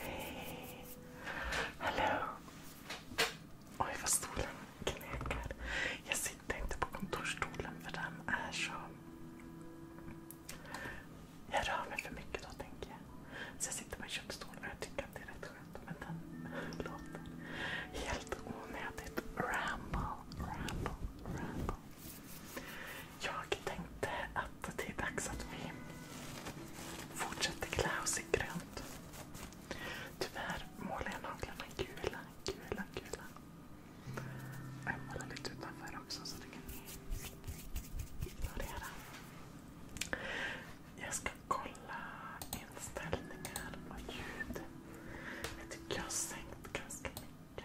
Hej! Hallå! Oj vad stolen knäcker. Jag sitter inte på kontorsstolen för den är så... Jag rör mig för mycket då tänker jag. Så jag sitter på köpstolen och jag tycker att det är rätt skönt. Men den låter helt onödigt ramble, ramble, ramble. Jag tänkte att det är dags att vi fortsätter klä oss i grönt. Tyvärr målar jag naglarna gula, gula, gula. jag målar lite utanför också så det kan ni ignorera. Jag ska kolla inställningar och ljud. Jag tycker jag har sänkt ganska mycket bort.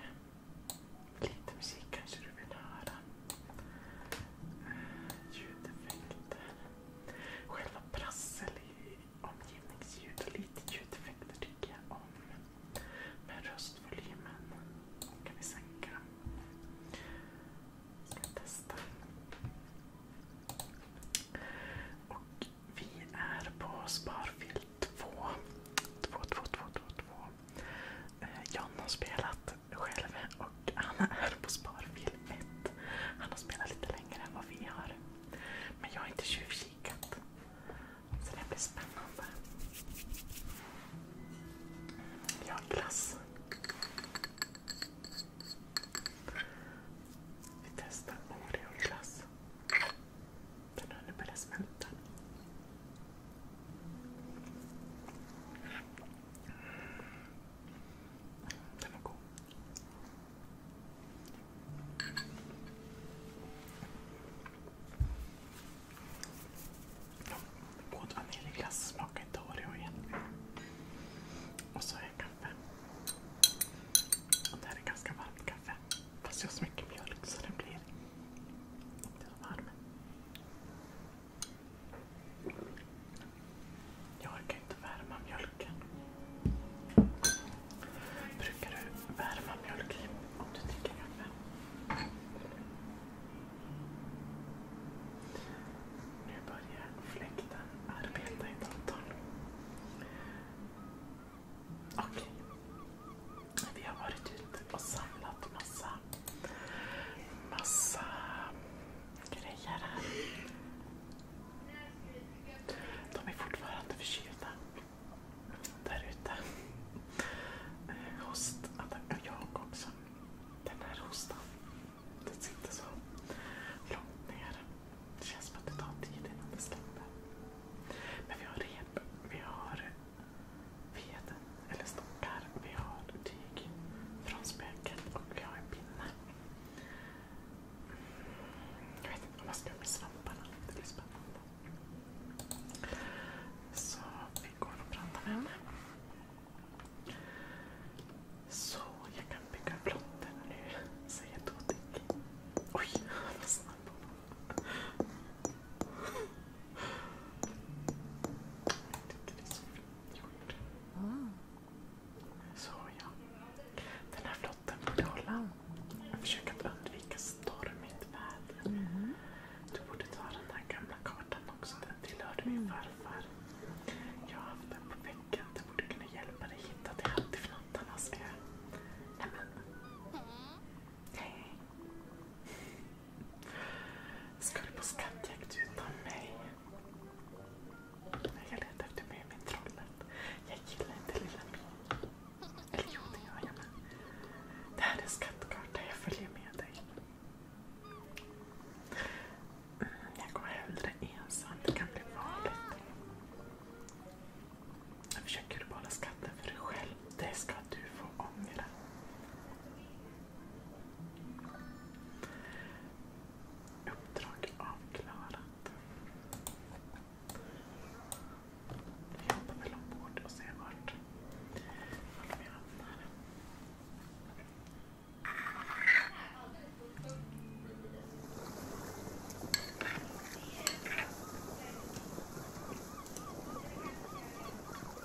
Lite musik kanske du vill höra. Eh, ljudeffekter. Själva prassel i omgivningsljud och lite ljudeffekter tycker jag om. Men röstvolymen kan vi sänka. Ska testa. Och vi är på Sparfilt två. Två, två, två, två, två. Eh, John har spelat själv och han är på sparfilm 1. Han har spelat lite längre än vad vi har. Men jag har inte tjuvkikat. Så det blir spännande. Jag har glass. Vi testar Oreo-glass. Den har nu börjat smälta. Den var god. Både vaniljglass smakar inte Oreo egentligen. Och så är det kaffe. Och det här är ganska varmt kaffe. Fast jag har så mycket mjölk så den blir inte så varm. Jag orkar inte värma mjölken. Brukar du värma mjölk i om du dricker kaffe? Nu börjar fläkten arbeta i datorn. Okej. Okay. Vi har varit ute och samlat massa, massa grejer här. De är fortfarande förkylda där ute. Eh, host, jag också. Den här hostan, den sitter så långt ner. Det känns som att det tar tid innan det släpper. Men vi har rep, vi har veden eller stockar. Vi har tyg från spöket och vi har en pinne. Jag vet inte vad man ska med svamparna. Det blir spännande. Så vi går och pratar med Så jag kan bygga plotter nu, säger Dodik. Oj, han var snabb. Mm. Så ja. Den här flotten borde hålla. Jag försöker att undvika stormigt väder. Mm. Du borde ta den här gamla kartan också. Den tillhörde min mm. farfar. Jag har haft den på väggen. Den borde kunna hjälpa dig hitta till Hattifnattarnas ö. Nämen. Mm. Hej. Ska du på skattjakt utan mig? Jag letar efter Mumintrollet. Jag gillar inte Lilla Min. Eller jo, det gör jag med. Det här är en Jag följer med dig. Mm, jag går hellre ensam. Det kan bli farligt. Jag försöker behålla skatten för dig själv. Det ska du få ångra. Uppdrag avklarat. Vi hoppar väl ombord och ser vart, vart vi hamnar.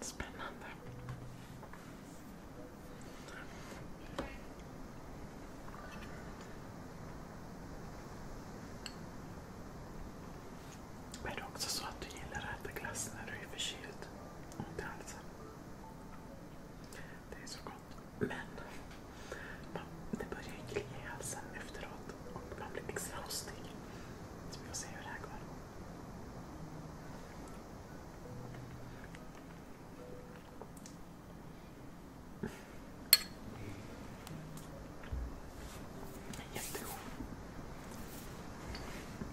Spännande. Är det också så att du gillar att äta glass när du är förkyld? Inte alls. Det är så gott. Men det börjar ju klia i halsen efteråt och man blir extra hostig. Så vi får se hur det här går. Jättegod.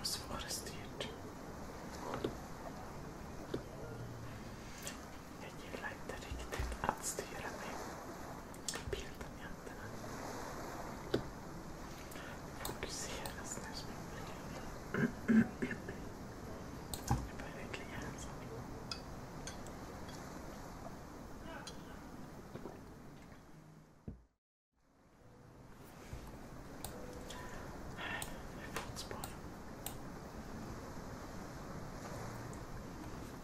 Och så var det styrt. Jag gillar inte riktigt att styra med bilden egentligen. Fokuseras nu som en bild. Det börjar klia en sak. Här är fotspår.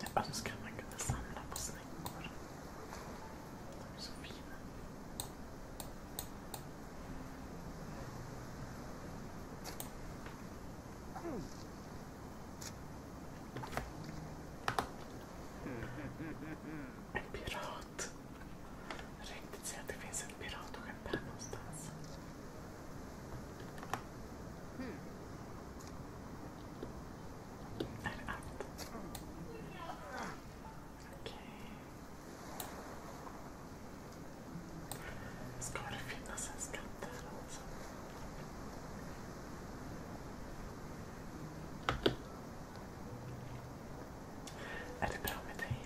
jag önskar man kunde samla på snäckor. De är så fina. En pirat riktigt, riktigt se att det finns ett piratskepp här någonstans. Mm. Är det allt? Mm. Okej. Okay. Ska det finnas en skatt här också? Är det bra med dig?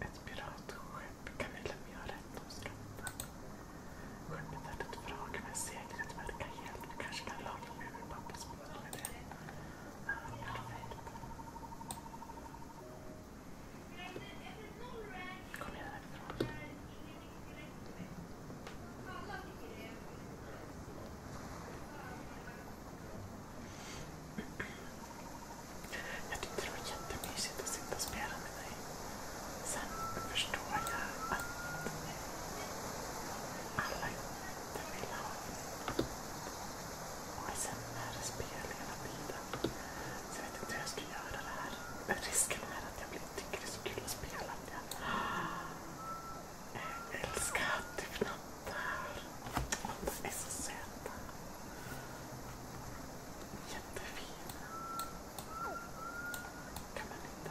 Ett piratskepp kan vi lämna rätt om skrappan. Skördar ett vrak men seglet verkar helt. Vi kanske kan laga ur pappas Kom igen härifrån. det var jättemysigt att sitta och spela med dig. Sen förstår jag att alla inte vill ha. Och sen är spelningarna vida. Så jag vet inte hur jag ska göra det här. Men risken är att jag tycker det är så kul att spela att jag, jag älskar att det fnattar. De är så söta. Jättefina. Kan man inte...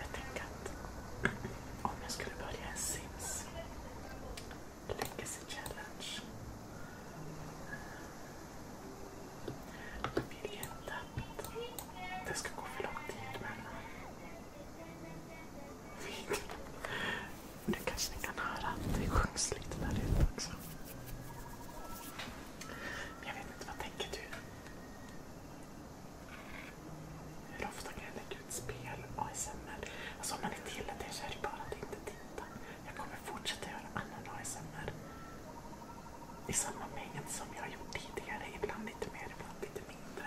Jag tänker att om jag skulle börja en Sims Legacy Challenge. Jag vill inte att det ska gå för lång tid mellan videorna. Nu kanske ni kan höra att det sjungs lite där ute också. Jag vet inte, vad tänker du? Hur ofta kan jag lägga ut spel, ASMR? Alltså om man inte gillar det så är det bara att inte titta. Jag kommer fortsätta göra annan ASMR. I samma mängd som jag har gjort tidigare. Ibland lite mer, ibland lite mindre.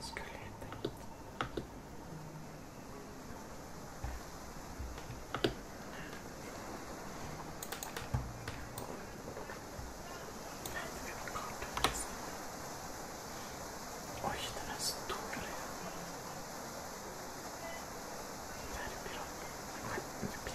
Skulle jag tänka. Oj, den är stor. Det här är pirat.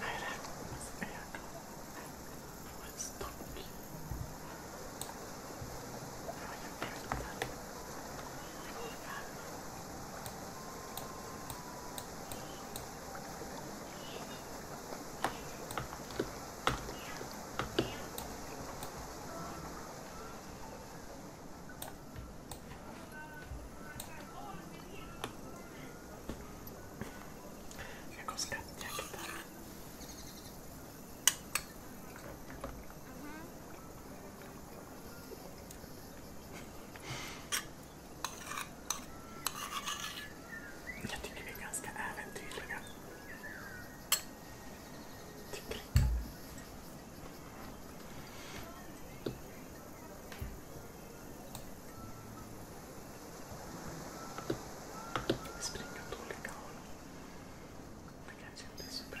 Nej, det här kommer hans ögon. Och en stock. Jag har ju bultar. Ringar. Jag går skattjakt här. Jag tycker vi är ganska äventyrliga. Tycker inte. Springa åt olika håll. Det kanske inte är så bra.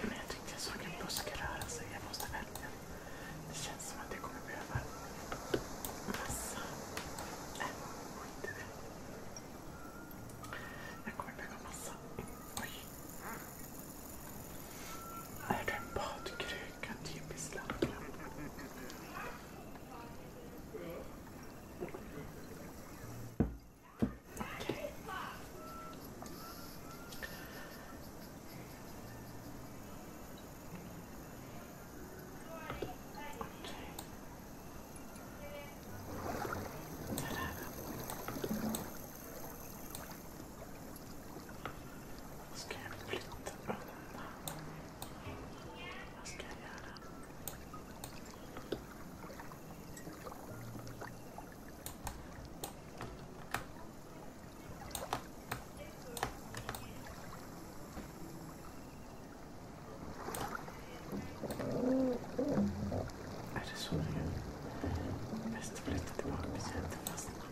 Men jag tyckte jag såg en buske röra sig. Jag måste välja. Det känns som att jag kommer behöva massa... Nej, skit i det. Jag kommer behöva massa... Är det en badkruka? Typiskt Lappland. Ska jag flytta undan? Vad ska jag göra? Är det så det är? Bäst att flytta tillbaka till fastnade.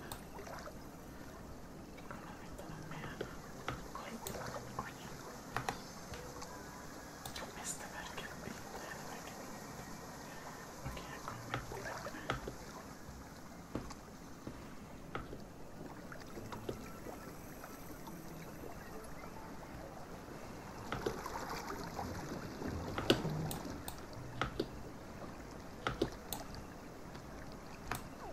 Mästerverket inte Okej, jag kommer på det. Okej,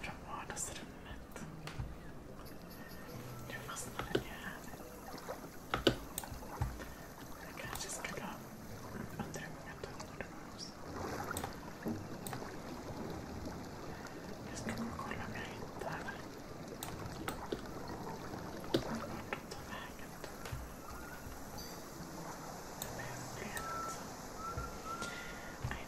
från vardagsrummet. Nu fastnade den ju här. Jag kanske skulle ha undrar hur många tunnor det var Jag ska gå och kolla om jag hittar vart de tar vägen. Nej,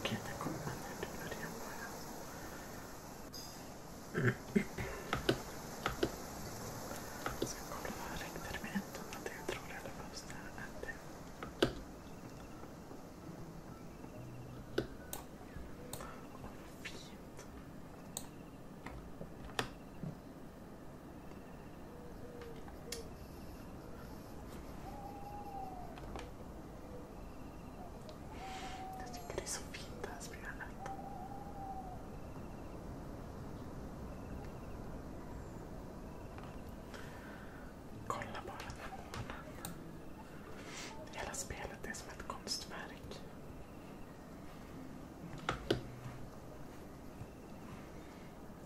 Okej, där kommer man ut i början bara. Mm. Jag ska kolla räckterminen att jag tror det eller vad som är det. Åh, vad fint. Jag tycker det är så fint det här programmet. Kolla bara på månen. Hela spelet är som ett konstverk.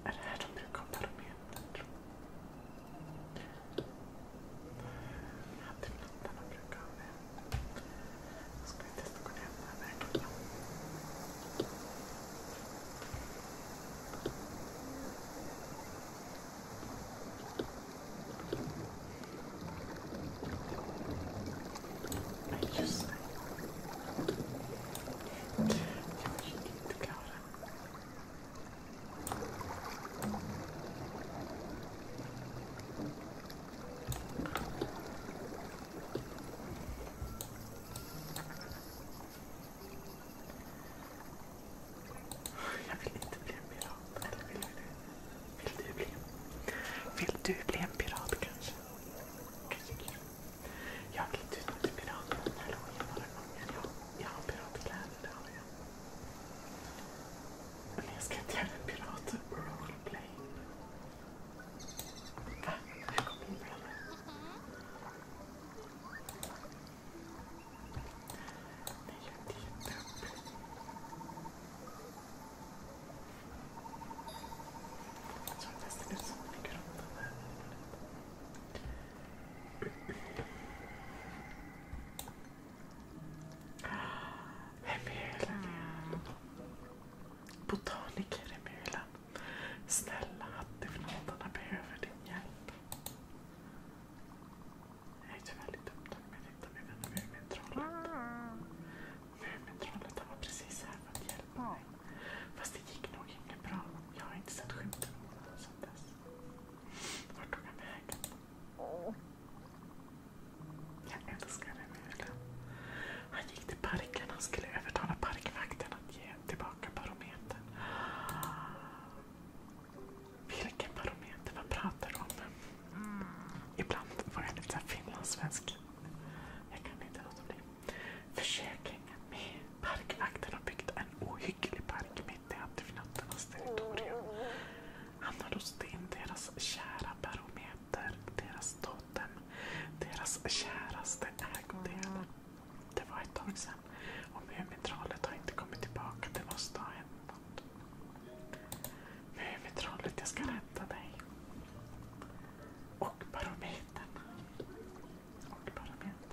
Är det här de brukar ha barometern? Alltid blandarna brukar ha det. Jag ska vi testa att gå ner den här vägen. Men just det. Jag är inte klar jag vill inte bli en pirat. Eller vill jag det? Vill du bli? en pirat kanske? Jag har klätt ut mig pirat jag har piratkläder. Italien. Men jag ska inte göra en pirat roleplay. Va? Här kommer min bröder. Nej, jag är inte Jag såg nästan ut som en grotta där. Emulen igen. Botaniker Emulen. Snälla hattifnåtarna behöver din hjälp. Jag är tyvärr lite upptagen med att hitta min vän Mumintrollet. Mumintrollet var precis här för att hjälpa mig. Fast det gick nog inget bra. Jag har inte sett skymten av honom sedan dess. Vart tog han vägen? Jag älskar den mulen. Han gick till parken. Han skulle övertala parkvakten att ge tillbaka barometern. Vilken barometer? Vad pratar du om? Mm. Ibland var jag lite finlandssvensk. Jag kan inte låta bli. Försäkringen med parkvakten har byggt en ohygglig park med lite antifnattarnas territorium. Hamnar hos din, deras kära barometer, deras totem, deras käraste ägodel. Det var ett tag sedan och Mumintrollet har inte kommit tillbaka. Det måste ha hänt något. Mumintrollet, jag ska rädda dig. Och barometern. Och barometern.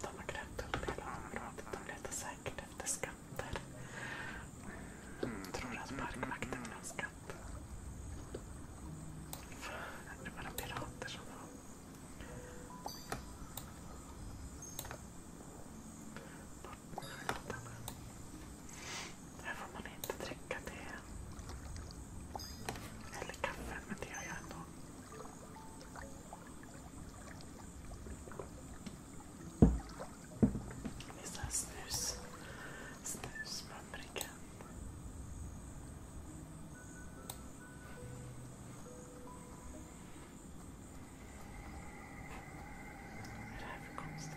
De har grävt upp hela området. De letar säkert efter skatter. Mm, tror att parkvakten vill ha skatt. Det var de pirater som var... Här får man inte dricka te. Eller kaffe, men det gör jag ändå. Med sån här snus. Snusmumriken. Vad är det här för konstigt?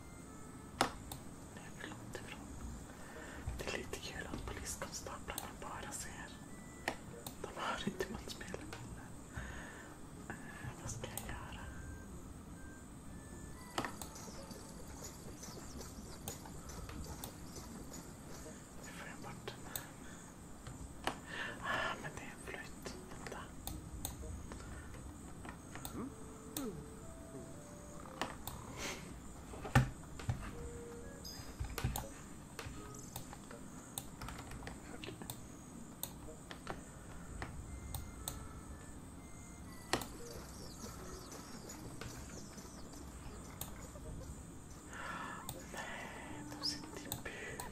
Nej, förlåt ifrån. Det är lite kul att poliskonstaplarna bara ser. De hör inte vad man spelar med. Uh, vad ska jag göra? Nu får jag bort den här. Ah, men det är en flöjt. Vänta. Nej, de sitter i bur.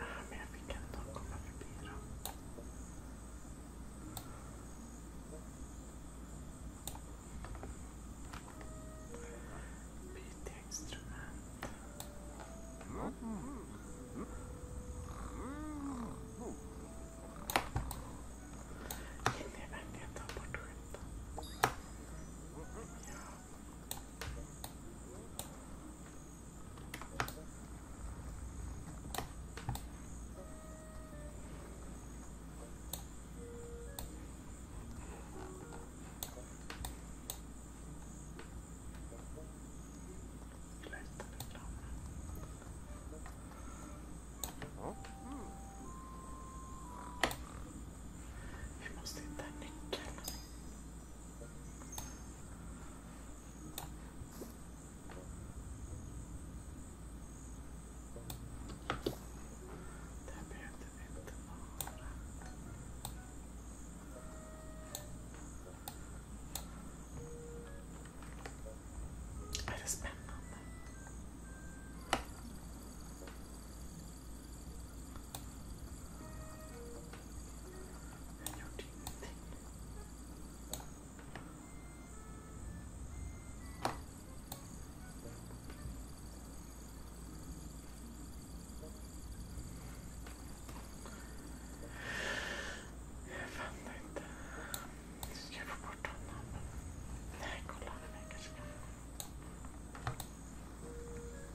Ah, men jag fick ändå komma förbi dem. Byta instrument. Hinner jag verkligen ta bort skylten? Lättare flammor. Vi måste hitta nyckeln. Det här behövde vi inte vara. Är det spännande? Jag gjorde ingenting. Jag fattar inte. Ska jag få bort honom? Nej, kolla. Nej, kanske kan.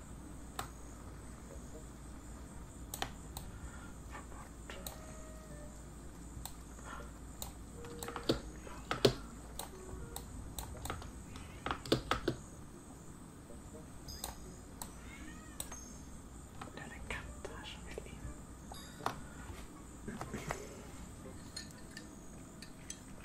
Det är en katt här som vill in.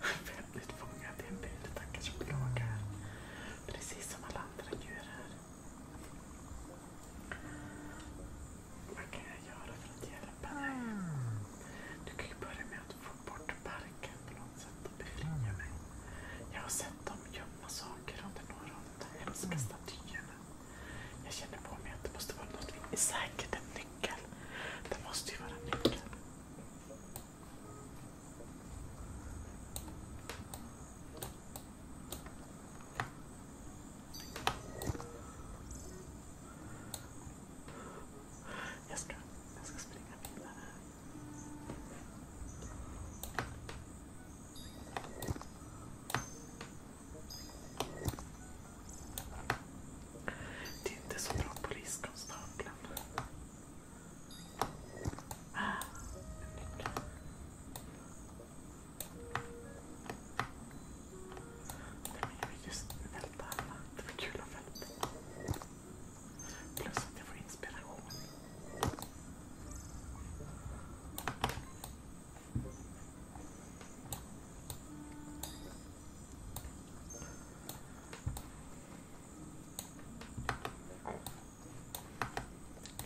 Väldigt fångad i en en Tackar som plågar. Precis som alla andra djur här. Vad kan jag göra för att hjälpa dig? Du kan ju börja med att få bort parken på något sätt och befria mig. Jag har sett dem gömma saker under några av de hemska mm. statyerna. Jag känner på mig att det måste vara något. Det är säkert en nyckel. Det måste ju vara en nyckel. Jag ska, jag ska springa vidare. Det är inte så bra poliskonstapeln. Jag vill just välta alla. Det var kul att välta. Plus att jag får inspiration.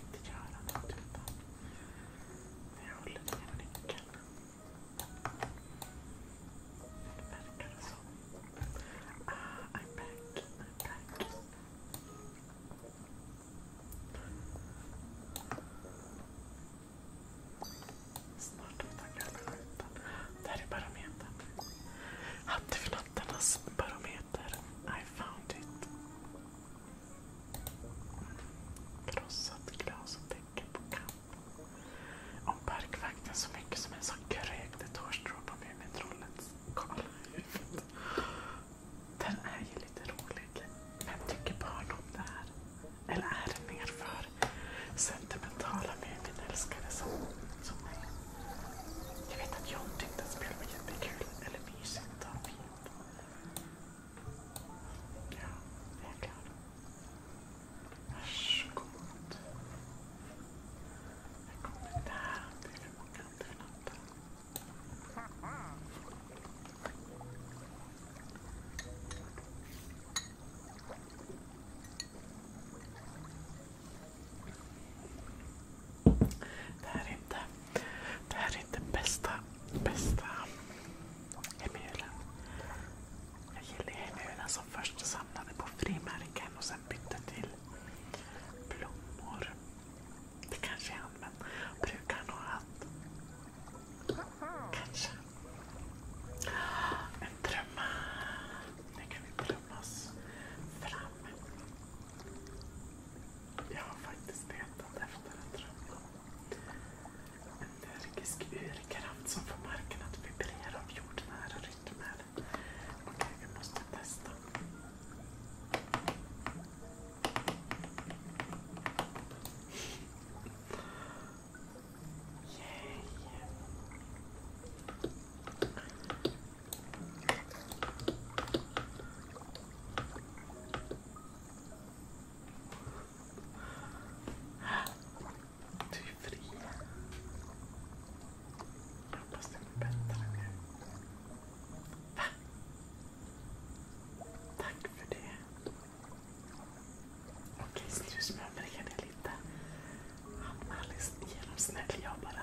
Inte göra med tutan. Men jag håller den genom nyckeln. Det verkar så. I'm back. I'm back. Snart utan gröna skylten. Där är barometern. Hade vi något annars? barometer. I found it. Krossat glas och täcke på kamp. Om parkvakten så mycket som en sån krökt ett hårstrå på Mumintrollets kala huvud. Den är ju lite rolig. Vem tycker barn om det här? Eller är det mer för sentimentala Muminälskare som, jag vet att John tyckte att spelet var jättekul. Eller mysigt och fint. Ja, helt klart. Varsågod. Jag kommer där. Det är för många alternativ. Det här är inte, bästa, bästa Jag gillar hemulen som först samlade på frimärken och sen bytte till blommor. Det kanske är han, men brukar nog att Kanske. En trumma. Nu kan vi trummas fram framme. Jag har faktiskt letat efter en trumma. En energisk urkraft som får marken att vibrera av jordnära rytmer. Okej, okay, vi måste testa. Yay! Du är fri. hoppas du blir bättre nu. Va? Tack för det. Okej, så du smörbereder lite. Han Alice genomsnäll jag bara.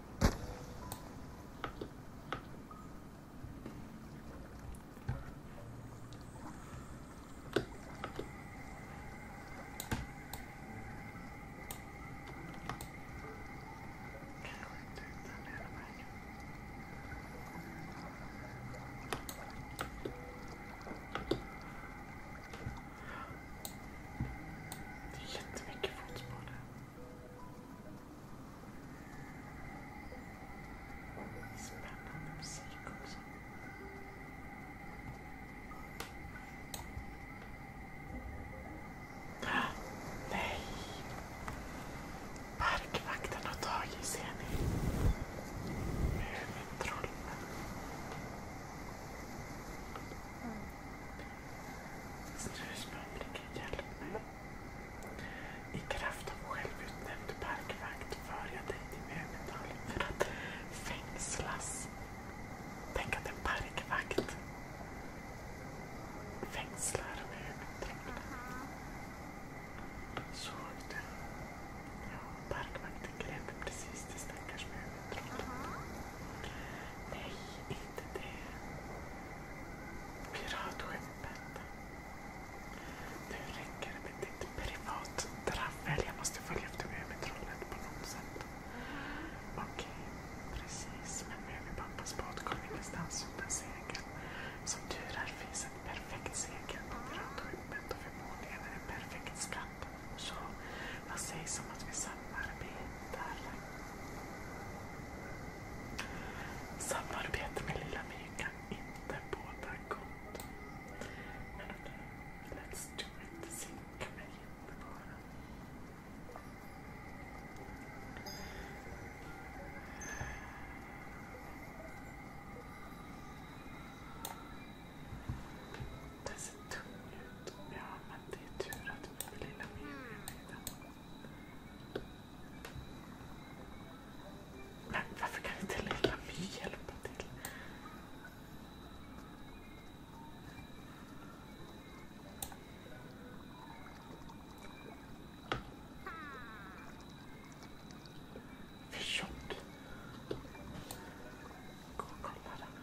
Det är jättemycket fotspår där. Spännande musik också. Nej! Parkvakten har tagit ser ni. Mumintrollen. Mm. Struspubliken hjälp mig. I kraft av självutnämnd parkvakt för jag dig till Mumindal för att fängslas. Tänk att en parkvakt fängslar Mumindalen. Såg du? parkvakten grep precis till stackars Mumintrollet inte det piratskeppet. Nu räcker det med ditt privat dravel. Jag måste följa efter mig trollet på något sätt. Okej, precis. Men nu är vi pappas båt. ingenstans utan segel. Som tur är finns ett perfekt segel på piratskeppet och förmodligen är en perfekt skatt. Så vad sägs om att vi samarbetar. Samarbete med Lilla My kan inte båda gott. Men let's do it. Zink mig inte bara. Den ser tung Ja, men det är tur att vi blir lilla Mimmi med den. Men varför kan inte lilla My hjälpa till? Förtjock. Gå och kolla den.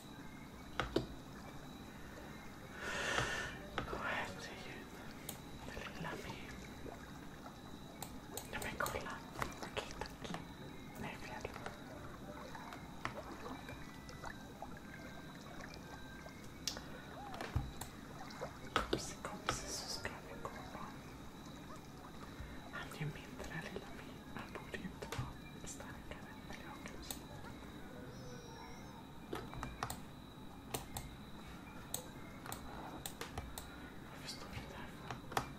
Åh herregud. Det lilla My. Ja men kolla. Okej tack. Nu är det fred. Kompis, kompis så ska vi gå. Han är ju mindre lilla My. Han borde ju inte vara starkare. Eller jag kanske. Jag förstår inte varför.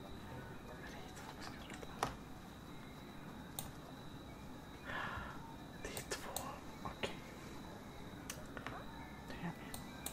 Men det är två skrullar. Det är två. Okej. Okay. Nu är jag med.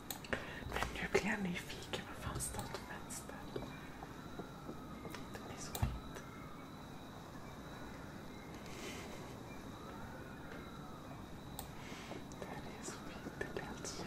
Men nu blir jag nyfiken. Vad fan står till vänster? Det blir så fint. Det är så fint. Det blir helt kär.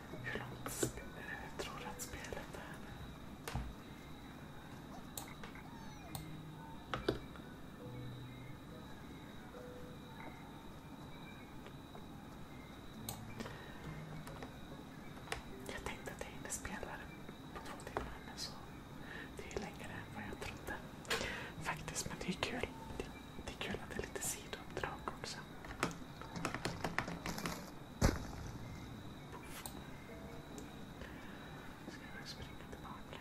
Hur långt tror du att spelet är? Jag tänkte att jag hinner spela på två timmar men så det är längre än vad jag trodde. Faktiskt, men det är kul. det är kul att det är lite sidouppdrag också också. Ska jag springa tillbaka?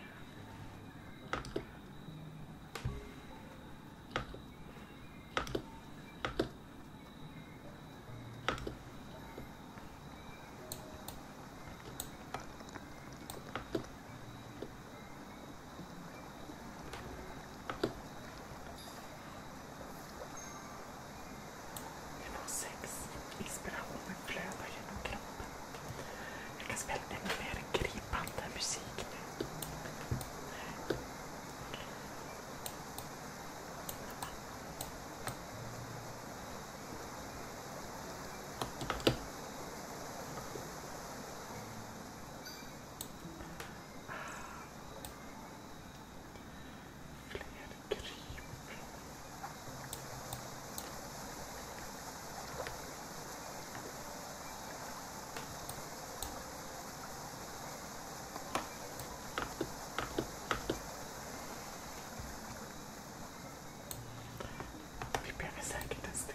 Genom sex. Inspirationen flödar genom kroppen. Jag kan spela ännu mer gripande musik nu. Fler kryp. Vi behöver säkert en sten.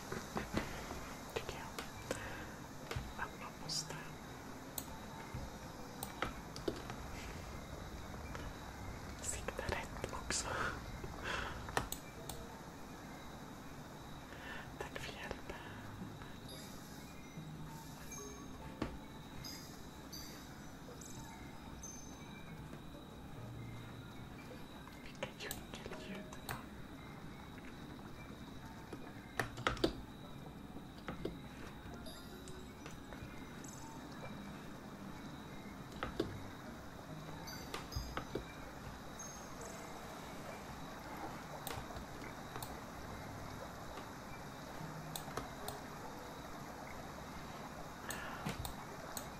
Tycker jag. Att man måste... Sikta rätt också. Tack för hjälpen. Vilka djungelljud det var.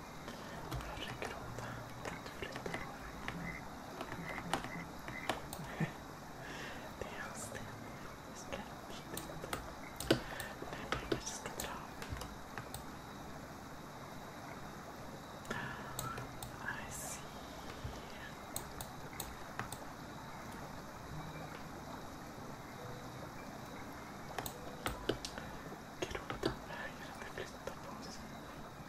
Herregud, kan du flytta på dig? Det är hans sten. Vi ska flytta på dig. Nej, men jag kanske ska dra. I see. Gråtan vägrade flytta på sig.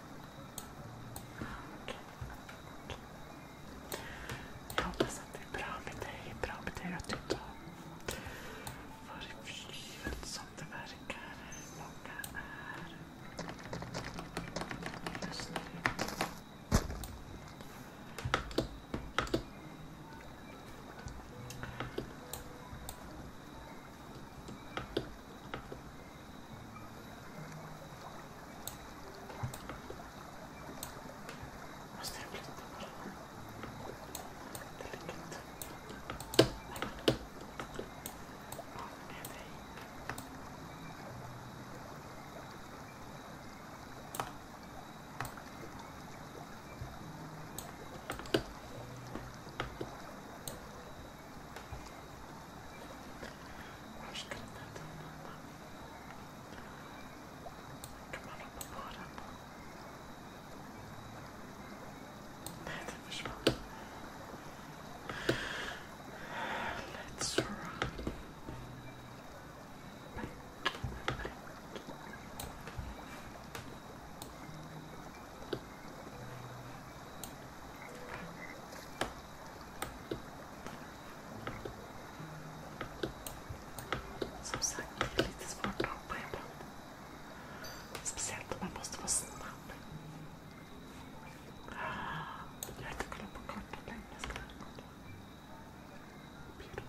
Jag hoppas att det är bra med dig, bra med dig att du har varit förkyld som det verkar. Många är just nu. Måste jag flytta på den? Det ligger inte. Med dig. Hur ska den här tunnan Kan man hoppa på den? Nej, den försvann. Let's run. Back, back. Som sagt, det är lite svårt att hoppa ibland. Speciellt om man måste vara snabb. Jag har inte kollat på kartan längre.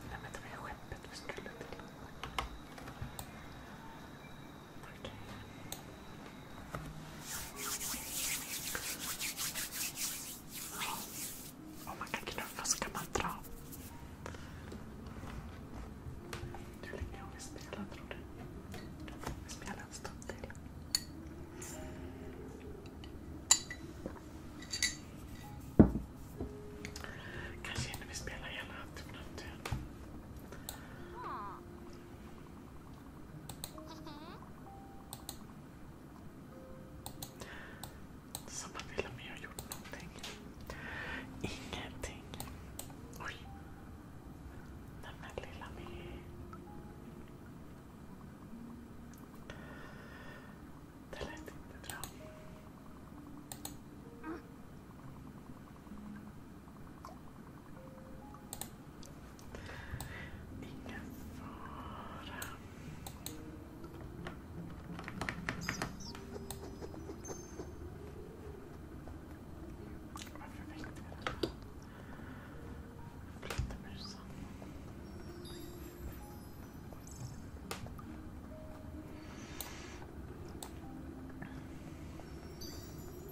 Nej men det var ju skeppet vi skulle till. Om man kan knuffa så kan man dra. Hur länge har vi spelat tror du? Vi spelar en stund till. Kanske hinner vi spela hela turen. Så man vill ha med och gjort någonting. Ingenting. Oj. Nej men lilla My. Det lät inte bra. Ingen fara. Varför väckte jag den här flattermusen? Okej.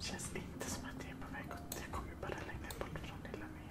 Det känns inte som att jag är på väg åt... Jag kommer bara längre bort från lilla mig.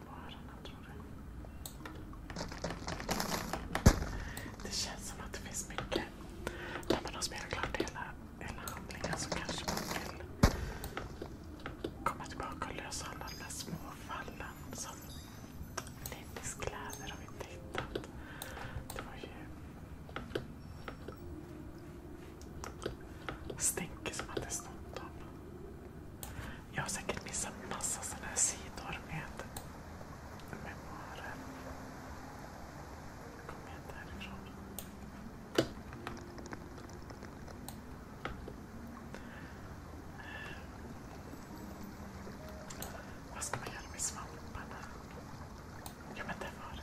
den på öronen tror du? Det känns som att det finns mycket. När man har spelat klart hela, handlingen så kanske man vill komma tillbaka och lösa alla de där små fallen som Lindys kläder har vi inte hittat. Det var ju stänker som hade snott dem. Jag har säkert missat massa sådana här sidor med memoarer. Kom inte härifrån. Eh, vad ska man göra med svamparna? Ja men det var det.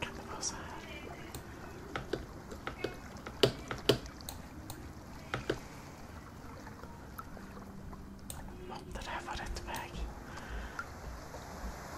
Kan det vara så här? Måtte det här vara rätt väg.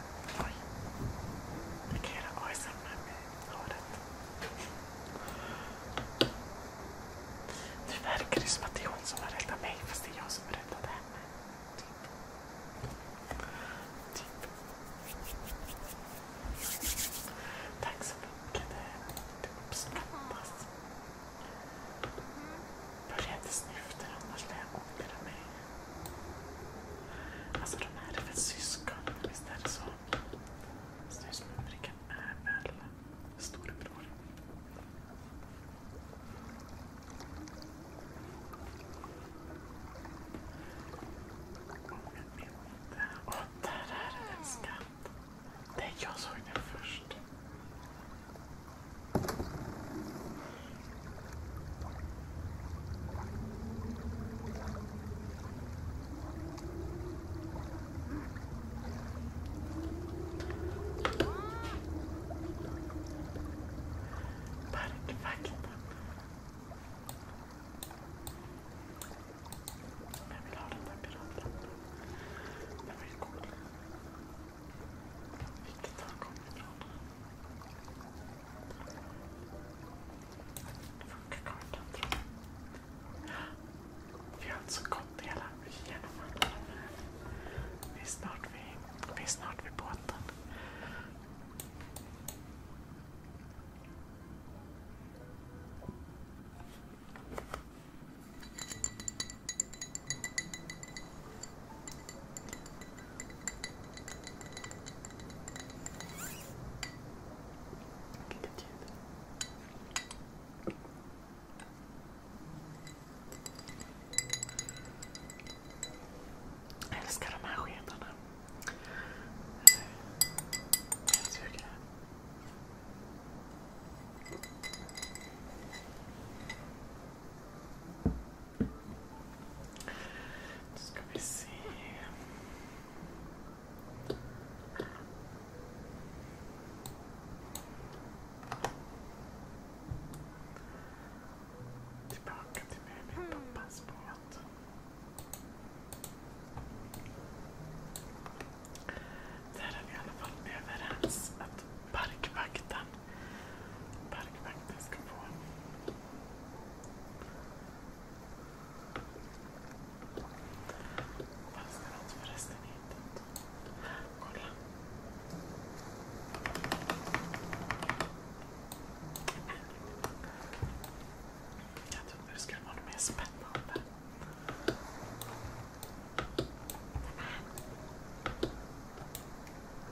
eller? Oj. Jag kan göra ASMR med håret. Nu verkar det som att det är hon som har räddat mig fast det är jag som har henne. Typ. Typ. Tack så mycket. Det uppskattas. Börja inte snyfta annars lär jag ångra mig. Alltså de här är väl syskon, visst är det så? Snusmumriken är väl storebror? Om jag inte... Åh, oh, där är en skatt! Det jag såg den först. Perfekt. Jag vill ha den där piraten. Den var ju cool. Vilket han kom ifrån. Funkar kartan tror jag. Vi har alltså gått hela genom alla de här. Vi är snart vid, vi är snart vid båten. Vilket ljud. Jag älskar de här skedarna. Pälsdjur. Då ska vi se. Tillbaka till med min mm. pappas båt. Där är vi i alla fall överens att parkvakten, parkvakten ska få Fanns det något förresten i hittat? Kolla. Jag trodde det skulle vara något mer spännande.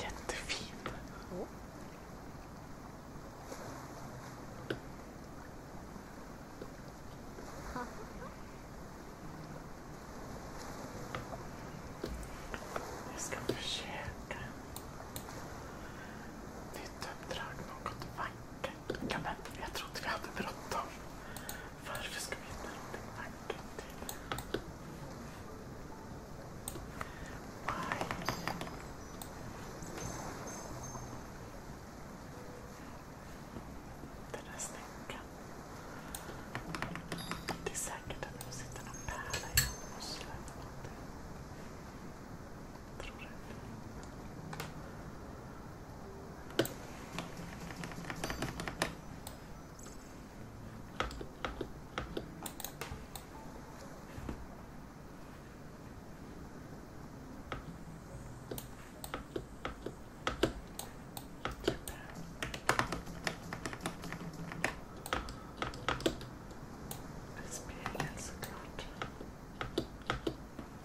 Jättefin. Jag ska försöka nytt uppdrag, något vackert. Ja, men jag trodde vi hade bråttom. Varför ska vi inte ha en macka till? Maj. Den här snäckan. Det är säkert att de sitter någon pärla i en mussla eller någonting. Tror jag. En spegel såklart.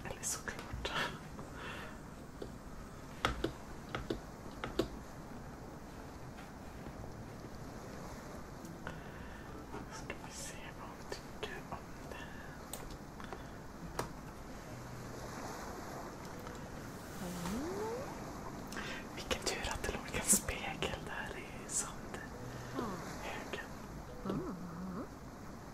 Eller såklart. Ska vi se vad hon tycker om det här. Mm. Vilken tur att det låg en spegel där i sandhögen. Mm. Mm.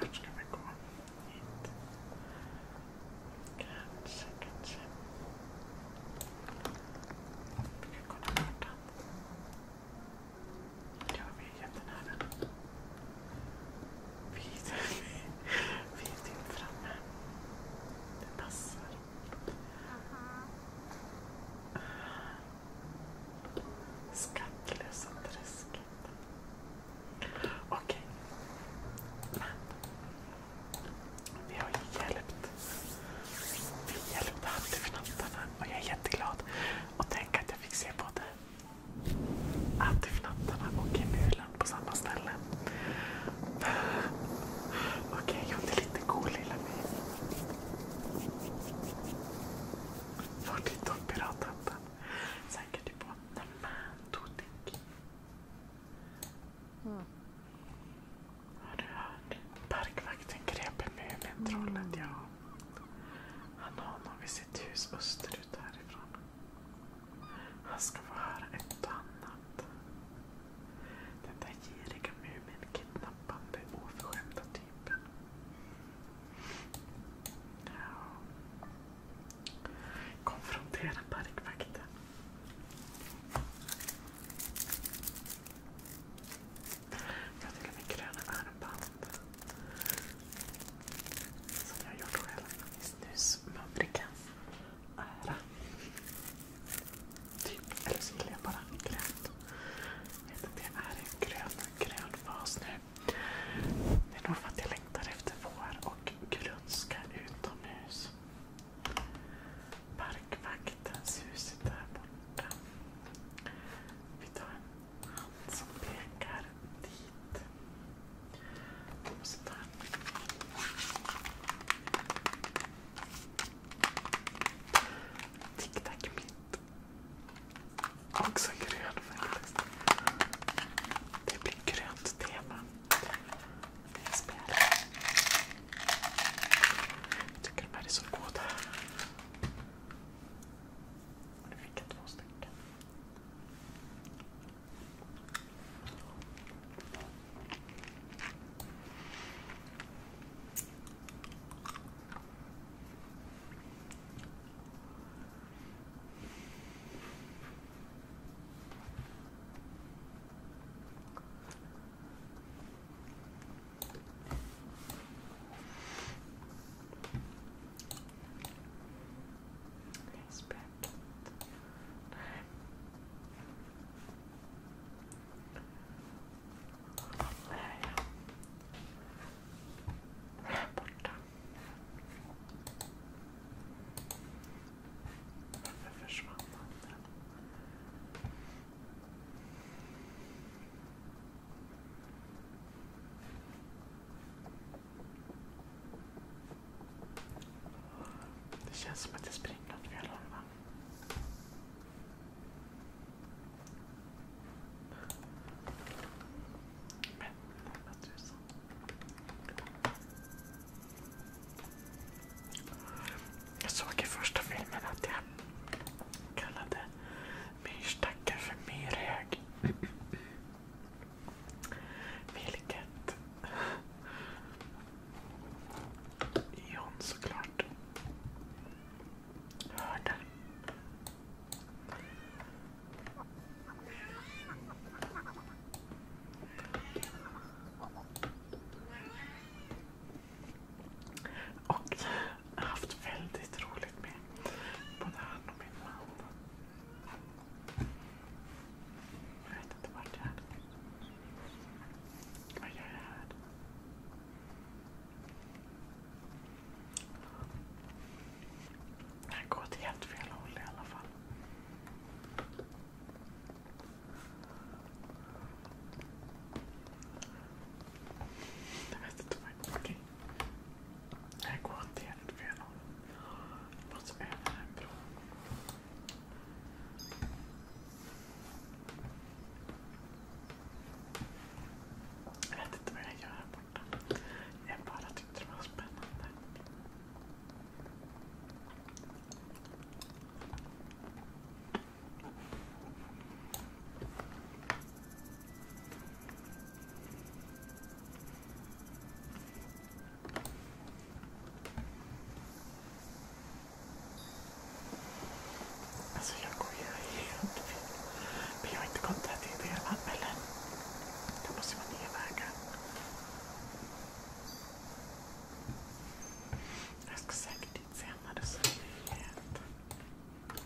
Vart ska vi gå? Hit. Kanske, kanske. Vi kan kolla kartan. Ja, vi är jättenära. Vi, vi, vi är typ framme. Det passar. Skattlösa träsk. Okej. Men. Vi har hjälpt. Vi hjälpte hattifnattarna och jag är jätteglad. Och tänk att jag fick se både hattifnattarna och emulen på samma ställe. Okej, jag gjorde lite god lilla mig. Vart är de pirathattarna? Säkert på nämen, Todik. Mm. Har du hört? Parkvakten grep Mumintrollet, mm. ja. Han har honom vid sitt hus österut härifrån. Han ska få höra ett och annat. Den där giriga Mumin-kidnappande, oförskämda typen. Konfrontera parkvakten. Jag har till och med gröna armband. Som jag gjort själv i snusmumriken. Ära. Typ, eller så gillar jag bara grönt. Jag vet inte, jag är en grön fas nu. Det är nog för att jag längtar efter vår och grönska utomhus. Parkvaktens hus där borta. Vi tar en hand som pekar dit. Och så tar en tic tac Också grön faktiskt. Det blir grönt tema. Det spelar. Jag tycker de här är så goda. Och nu fick jag två stycken. Läsböcker. Nej. Här ja. Här borta. Varför försvann han? Det känns som att det springer åt fel håll va? Men tusen. Jag såg i första filmen att jag kallade myrstacken för myrhög. Vilket John såklart hörde. Och jag har haft väldigt roligt med både han och min man. Jag vet inte vart jag är. Vad gör jag här? Det här går åt helt fel håll i alla fall. Jag vet inte vad okay. Det här går åt helt fel håll. Jag över en Jag vet inte vad jag gör här borta. Jag bara tyckte det var spännande. Alltså jag går ju helt fel. Men jag har inte gått där till det än eller? Det måste vara nya vägar. Jag ska säkert dit senare så det är helt onödigt.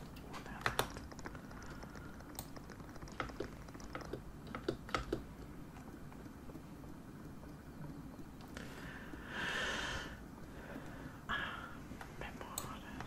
Ah, memoarer.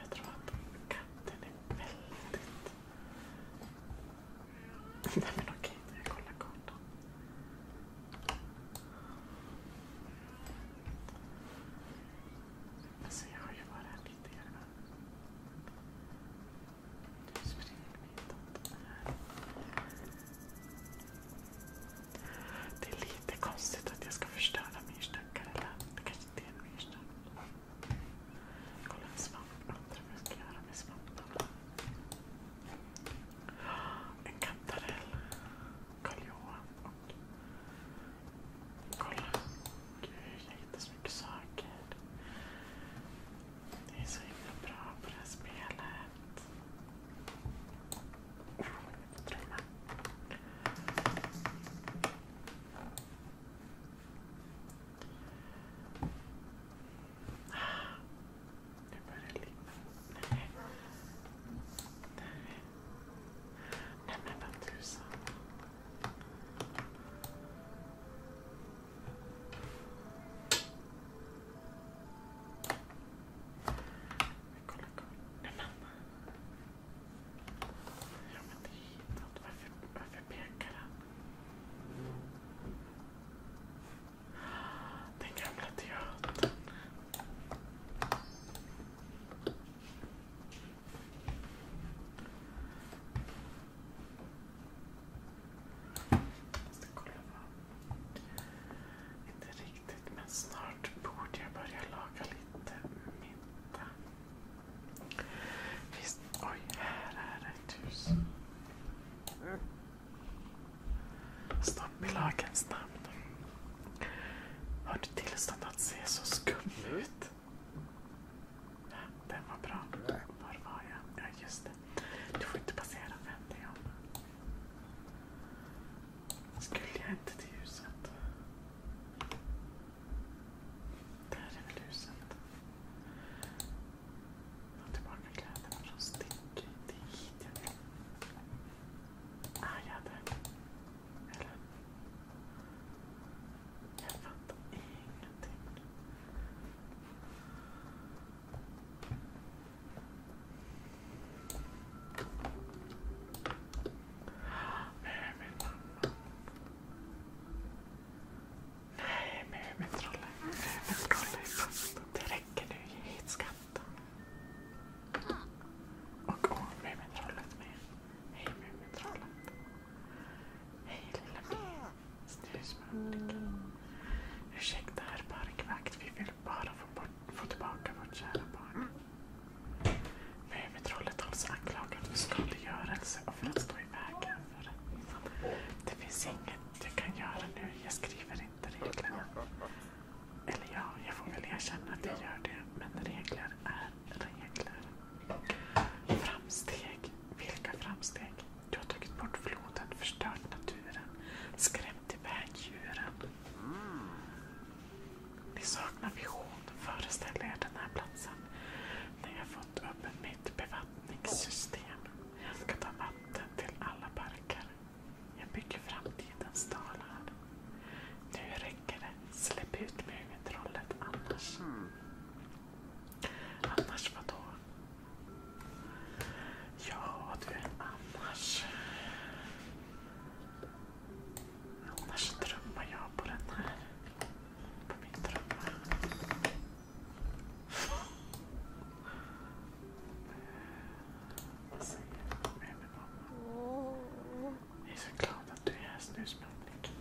Jag tror att katten är väldigt... Nej men okej, jag kollar kartan. Alltså jag har ju varit här tidigare men... Nu springer vi hitåt. Det är lite konstigt att jag ska förstöra myrstackar. Eller det kanske inte är en myrstack. Kolla en svamp. Undrar vad jag ska göra med svamparna. En kantarell. Karl-Johan. Och... Kolla. Gud, jag hittar så mycket saker. Det är så himla bra på det här spelet. Nu börjar det ligga. Nej. Nej. Nej men vad tusan. Men kolla, kolla. Nej mamma. Ja men det Varför, varför pekar han? Den gamla teatern. Jag måste kolla vad... Inte riktigt riktigt men snart borde jag börja laga lite middag. Visst, oj, här är ett hus. Stopp i lagens namn. Har du tillstånd att se så skum ut? Den var bra. Var var jag? Ja, just det. Du får inte passera, Vänd dig om. Skulle jag inte till ljuset? Där är väl ljuset. Ta tillbaka kläderna från Sticky. Det är hit jag vill. Ah, jag hade... Eller? Jag fattar ingenting. Nej, Nej, Mumin Det räcker nu. Ge hit skatten. Och åh, Mumintrollet med. Hej Mumintrollet. Hej lilla Mi. Snusmördiken. Ursäkta herr parkvakt, vi vill bara få bort få tillbaka vårt kära barn. Möjligen med trollet hålls anklagad för skadegörelse och för att stå i vägen. För det finns inget jag kan göra nu. Jag skriver inte reglerna. Eller ja, jag får väl erkänna att jag gör det. Men regler är regler. Framsteg. Vilka framsteg? Du har tagit bort floden, förstört naturen, skrämt iväg djuren. Ni saknar vision. Föreställ er den här platsen Ni har fått upp ett nytt bevattningssystem. Jag ska ta vatten till alla parker. Jag bygger framtidens dalar. Nu räcker det. Släpp ut mumintrollet annars. Annars vadå? Ja du, annars... Annars trummar jag på den här. På min trumma. Vad säger du med mamma? Jag är så glad att du är här snusmumlik.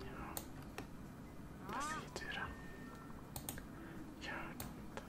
Ja. Vad säger du då? Gör något.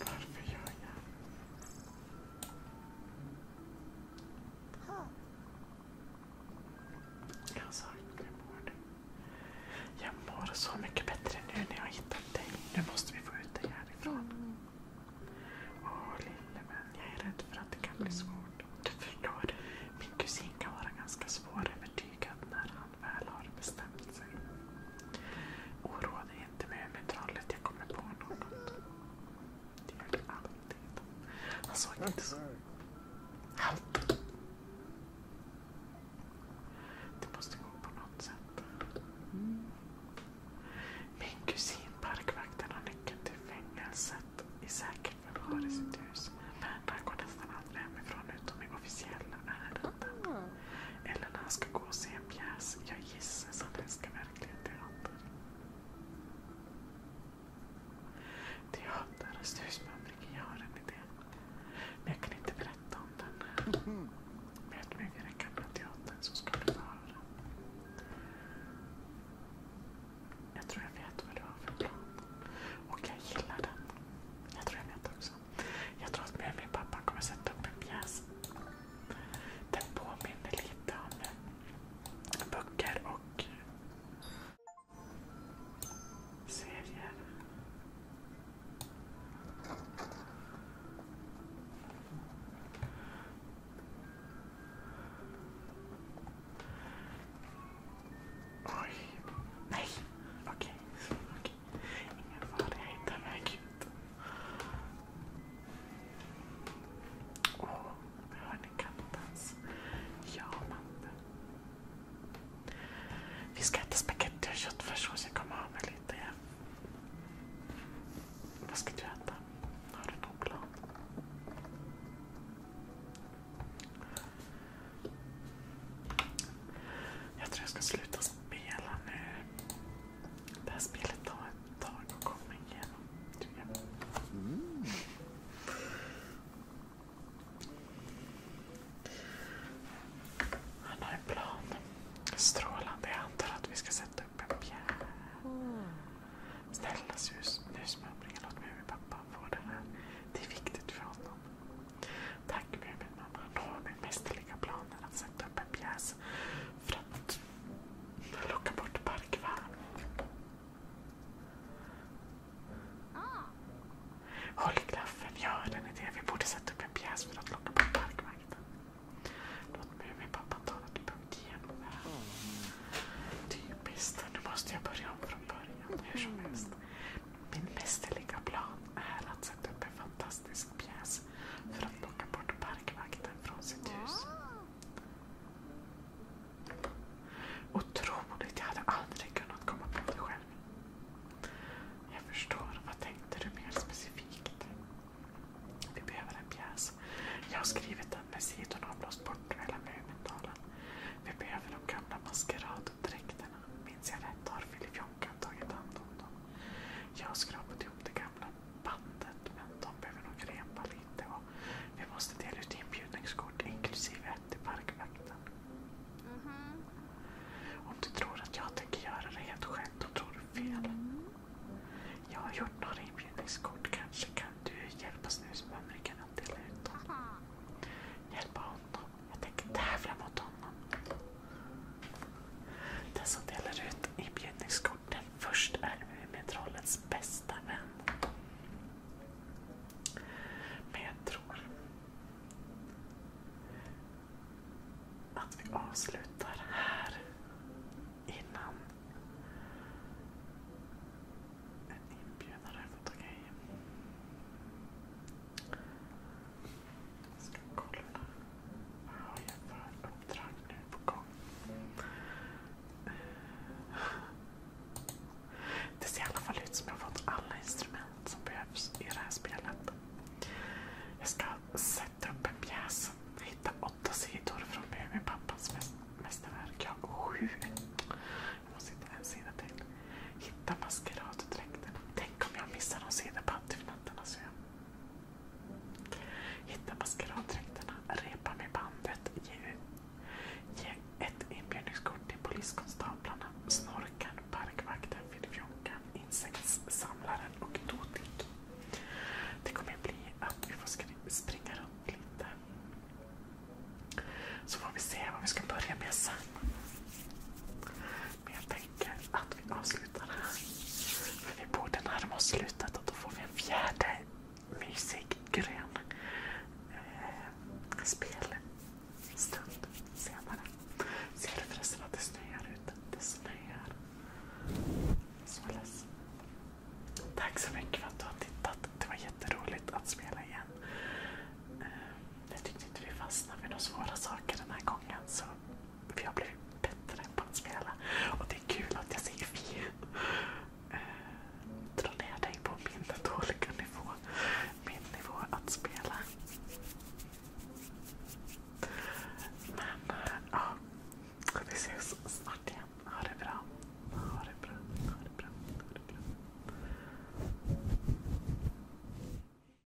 Varför gör jag? Jag mår så mycket bättre nu när jag har hittat dig. Nu måste vi få ut dig härifrån. Mm. Åh lille vän, jag är rädd för att det kan bli svårt. Mm. Du förstår, min kusin kan vara ganska svårövertygad när han väl har bestämt sig. Oroa dig inte Mumintrollet, jag kommer på något. Det gör du alltid. Han såg inte så... Halt! Det måste gå på något sätt. Min kusin parkvakten har nyckeln till fängelset i säkert förvar i sitt hus. Men han går nästan aldrig hemifrån utom i officiella ärenden. Mm. Eller när han ska gå och se en pjäs. Jag gissar att han älskar verkligen teater. Teater och snusmumling, jag har en idé. Men jag kan inte berätta om den. Möt mig vid den gamla teatern så ska du få höra. Jag tror jag vet vad du har för plan. Och jag gillar den. Jag tror jag vet också också. Jag tror att min pappa kommer sätta upp en pjäs. Den påminner lite om böcker och serier. Oj. Nej. Okej. Okay. Okej. Ingen fara, jag hittar mig ut. Åh, oh, hör ni kattens jamande? Vi ska äta spagetti och köttfärssås, jag kommer av mig lite. Ja. Vad ska du äta? Har du någon plan? Jag tror jag ska sluta spela nu. Det här spelet tar ett tag att komma igenom. Mm. Han har en plan. Strålande. Jag antar att vi ska sätta upp en pjäs. Snälla nu låt mig och min pappa få det här. Det är viktigt för honom. Tack Muminmamma. Hon har min mästerliga planer att sätta upp en pjäs för att locka bort parkvärn. Ah. Håll klaffen, ja eller en idé. Vi borde sätta upp en pjäs för att locka bort parkvakten. Låt Muminpappan tala till punkt igen ah. Typiskt. Nu måste jag börja om från början. Hur som helst. Min mästerliga plan är att sätta upp en fantastisk pjäs för att locka bort parkvakten från sitt hus. Otroligt, jag hade aldrig kunnat komma på det själv. Jag förstår. Vad tänkte du mer specifikt? Vi behöver en pjäs. Jag har skrivit den med sidorna avblåst bort hela Mumindalen. Vi behöver de gamla maskerad dräkterna. Minns jag rätt har Filip tagit hand om dem. Jag har skrapat ihop det gamla bandet men de behöver nog repa lite och vi måste dela ut inbjudningskort inklusive ett till parkvakten. Mhm. Om du tror att jag tänker göra det helt själv, då tror du fel. Mm. Jag har gjort några inbjudningskort. Kanske kan du hjälpa snusmumriken att dela ut dem. Hjälpa honom. Jag tänker tävla mot honom. Den som delar ut inbjudningskorten först är Mumintrollets bästa vän. Men jag tror att vi avslutar här innan en inbjudare har fått okej. Jag ska kolla. Vad har för uppdrag nu på gång? Det ser i alla fall ut som jag har fått alla instrument som behövs i det här spelet. Jag ska sätta upp en pjäs. Hitta åtta sidor från Muminpappas mästerverk. Jag sju. Jag måste hitta en sida till. Hitta maskeraddräkten. Tänk om jag missar någon sida på Hitta maskeraddräkterna, repa med bandet, ge, ett inbjudningskort till poliskonstaplarna, snorkan, parkvakten, filfjonkan, insektssamlaren och Dodik. Det kommer bli att vi får springa runt lite. Så får vi se vad vi ska börja med sen. Men jag tänker att vi avslutar här. För vi borde närma oss slutet och då får vi en fjärde mysig grön eh, spelstund senare. Ser du förresten att det snöar ute? Det snöar. Således. Tack så mycket för att du har tittat. Det var jätteroligt att spela igen. Eh, jag tyckte inte vi fastnade vid några svåra saker den här gången. Så för jag blir bättre på att spela. Och det är kul att jag ser vi eh, dra ner dig på min dåliga nivå. Min nivå att spela. Men eh, ja, vi ses snart igen. Ha det bra. Ha det bra. Ha det bra. Ha det bra.